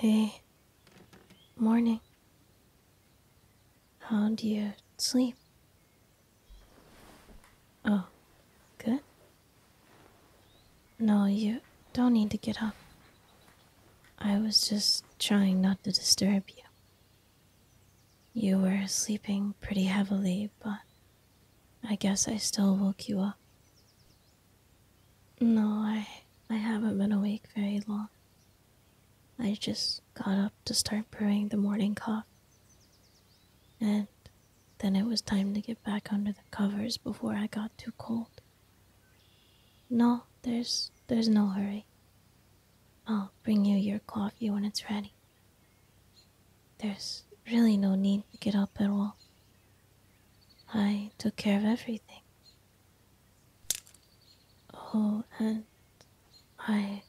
Hey, morning. How would you sleep? Oh, good. No, you don't need to get up. I was just trying not to disturb you. You were sleeping pretty heavily, but I guess I still woke you up. No, I I haven't been awake very long. I just got up to start brewing the morning coffee. And then it was time to get back under the covers before I got too cold. No, there's there's no hurry. I'll bring you your coffee when it's ready. There's really no need to get up at all. I took care of everything. Oh, and I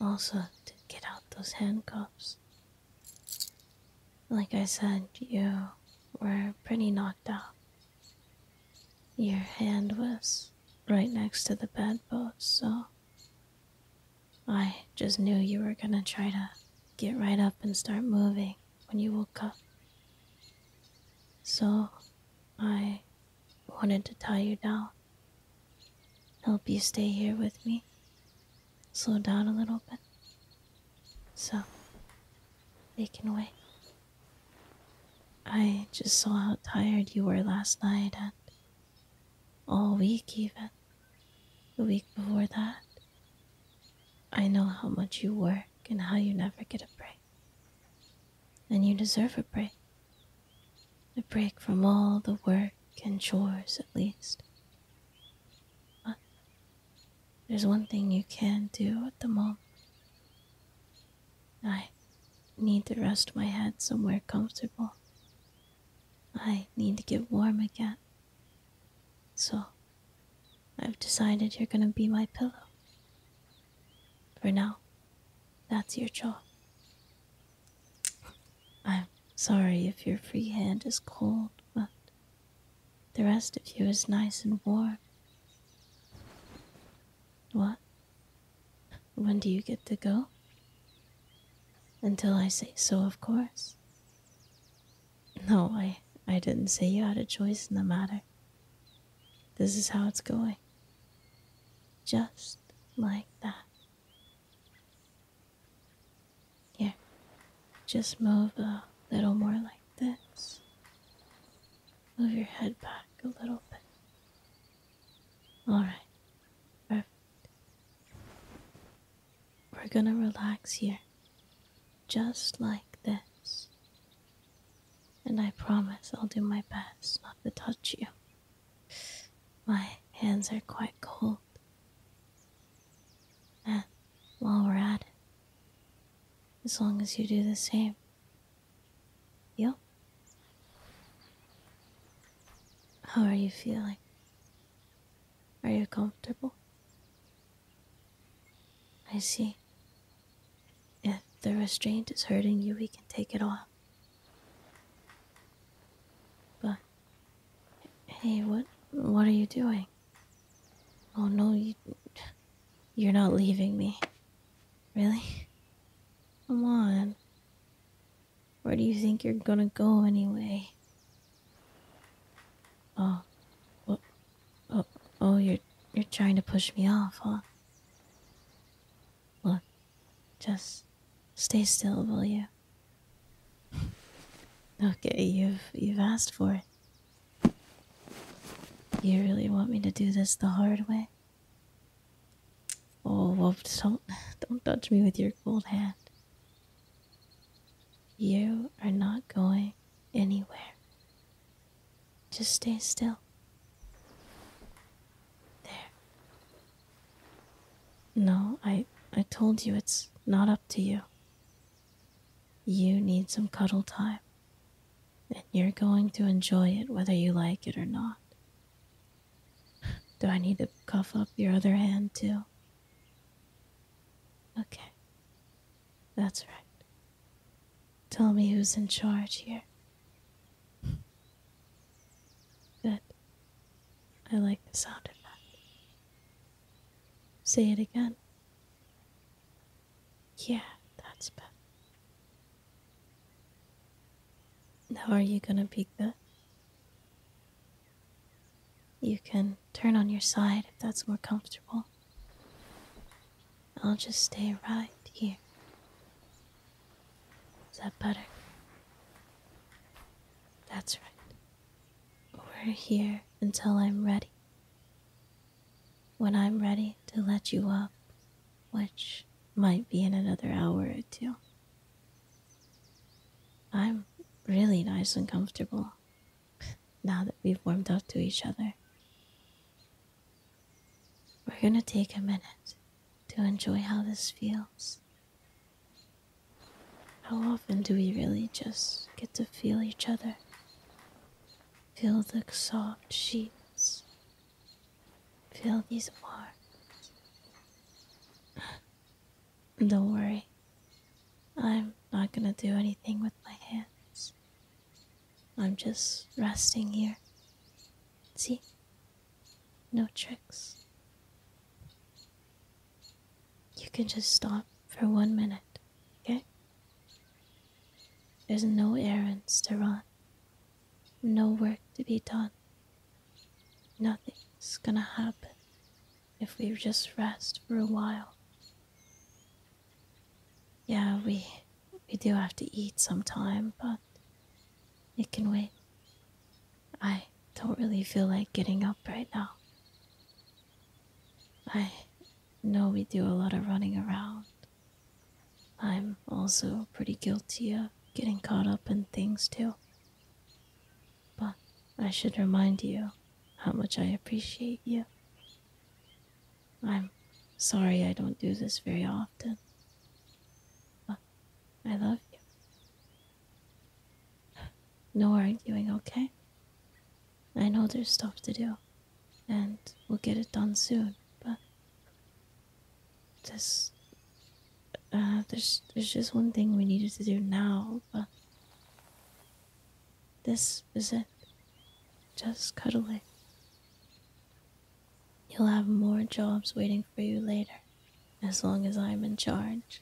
also did get out those handcuffs. Like I said, you were pretty knocked out, your hand was right next to the bedpost, so I just knew you were gonna try to get right up and start moving when you woke up. So I wanted to tie you down, help you stay here with me, slow down a little bit. So they can wait. I just saw how tired you were last night and all week, even the week before that. I know how much you work and how you never get a break. And you deserve a break. A break from all the work and chores, at least. But there's one thing you can do at the moment. I need to rest my head somewhere comfortable. I need to get warm again. So, I've decided you're gonna be my pillow. For now, that's your job. I'm sorry if your free hand is cold, but the rest of you is nice and warm. What? When do you get to go? Until I say so, of course. No, I, I didn't say you had a choice in the matter. This is how it's going. Just like that. Yeah, just move a little more like this. Move your head back a little bit. All right, perfect. We're gonna relax here, just like this. And I promise I'll do my best not to touch you. My hands are quite cold. while we're at it. As long as you do the same. Yep. How are you feeling? Are you comfortable? I see. If the restraint is hurting you, we can take it off. But Hey, what what are you doing? Oh no, you you're not leaving me. Really? Come on. Where do you think you're gonna go anyway? Oh, oh, oh, you're you're trying to push me off, huh? Look, just stay still, will you? Okay, you've you've asked for it. You really want me to do this the hard way? Oh, well, don't don't touch me with your cold hand. You are not going anywhere. Just stay still. There. No, I I told you it's not up to you. You need some cuddle time. And you're going to enjoy it whether you like it or not. Do I need to cuff up your other hand too? Okay. That's right. Tell me who's in charge here. Good. I like the sound of that. Say it again. Yeah, that's better. Now, are you gonna be That You can turn on your side if that's more comfortable. I'll just stay right here. Is that better? That's right. We're here until I'm ready. When I'm ready to let you up, which might be in another hour or two. I'm really nice and comfortable now that we've warmed up to each other. We're gonna take a minute to enjoy how this feels how often do we really just get to feel each other? Feel the soft sheets. Feel these arms. Don't worry. I'm not gonna do anything with my hands. I'm just resting here. See? No tricks. You can just stop for one minute, okay? There's no errands to run, no work to be done. Nothing's gonna happen if we just rest for a while. Yeah, we we do have to eat sometime, but it can wait. I don't really feel like getting up right now. I know we do a lot of running around. I'm also pretty guilty of getting caught up in things too. But I should remind you how much I appreciate you. I'm sorry I don't do this very often. I love you. No arguing, okay? I know there's stuff to do, and we'll get it done soon, but this. Uh, there's, there's just one thing we needed to do now, but this is it. Just cuddling. You'll have more jobs waiting for you later, as long as I'm in charge.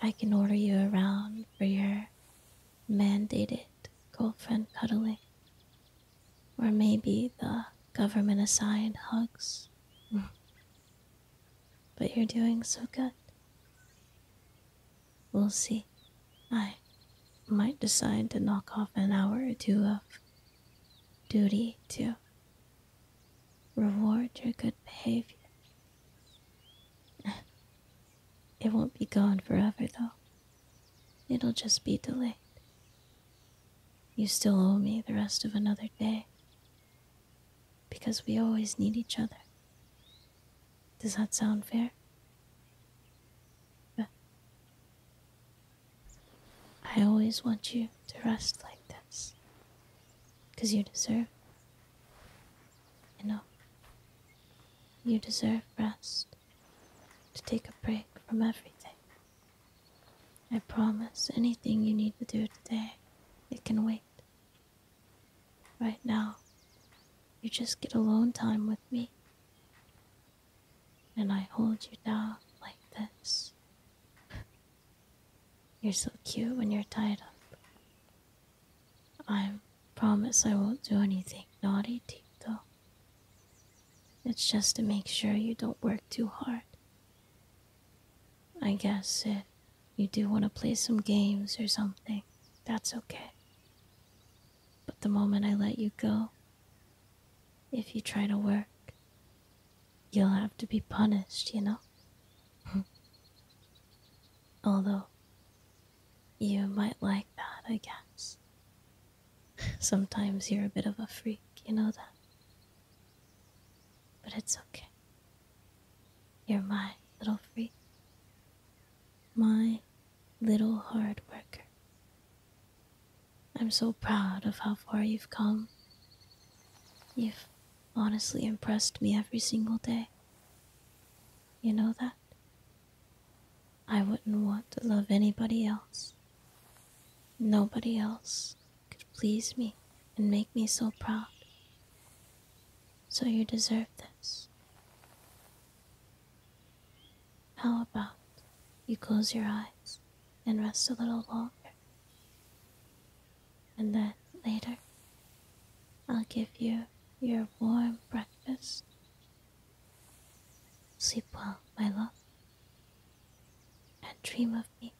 I can order you around for your mandated girlfriend cuddling, or maybe the government assigned hugs. but you're doing so good. We'll see. I might decide to knock off an hour or two of duty to reward your good behavior. It won't be gone forever, though. It'll just be delayed. You still owe me the rest of another day. Because we always need each other. Does that sound fair? I always want you to rest like this. Because you deserve, you know, you deserve rest. To take a break from everything. I promise anything you need to do today, it can wait. Right now, you just get alone time with me and I hold you down like this. You're so cute when you're tied up. I promise I won't do anything naughty to though. It's just to make sure you don't work too hard. I guess if you do want to play some games or something, that's okay. But the moment I let you go, if you try to work, you'll have to be punished, you know? Although, you might like that, I guess. Sometimes you're a bit of a freak, you know that? But it's okay. You're my little freak my little hard worker. I'm so proud of how far you've come. You've honestly impressed me every single day. You know that? I wouldn't want to love anybody else. Nobody else could please me and make me so proud. So you deserve this. How about you close your eyes and rest a little longer? And then later, I'll give you your warm breakfast. Sleep well, my love, and dream of me.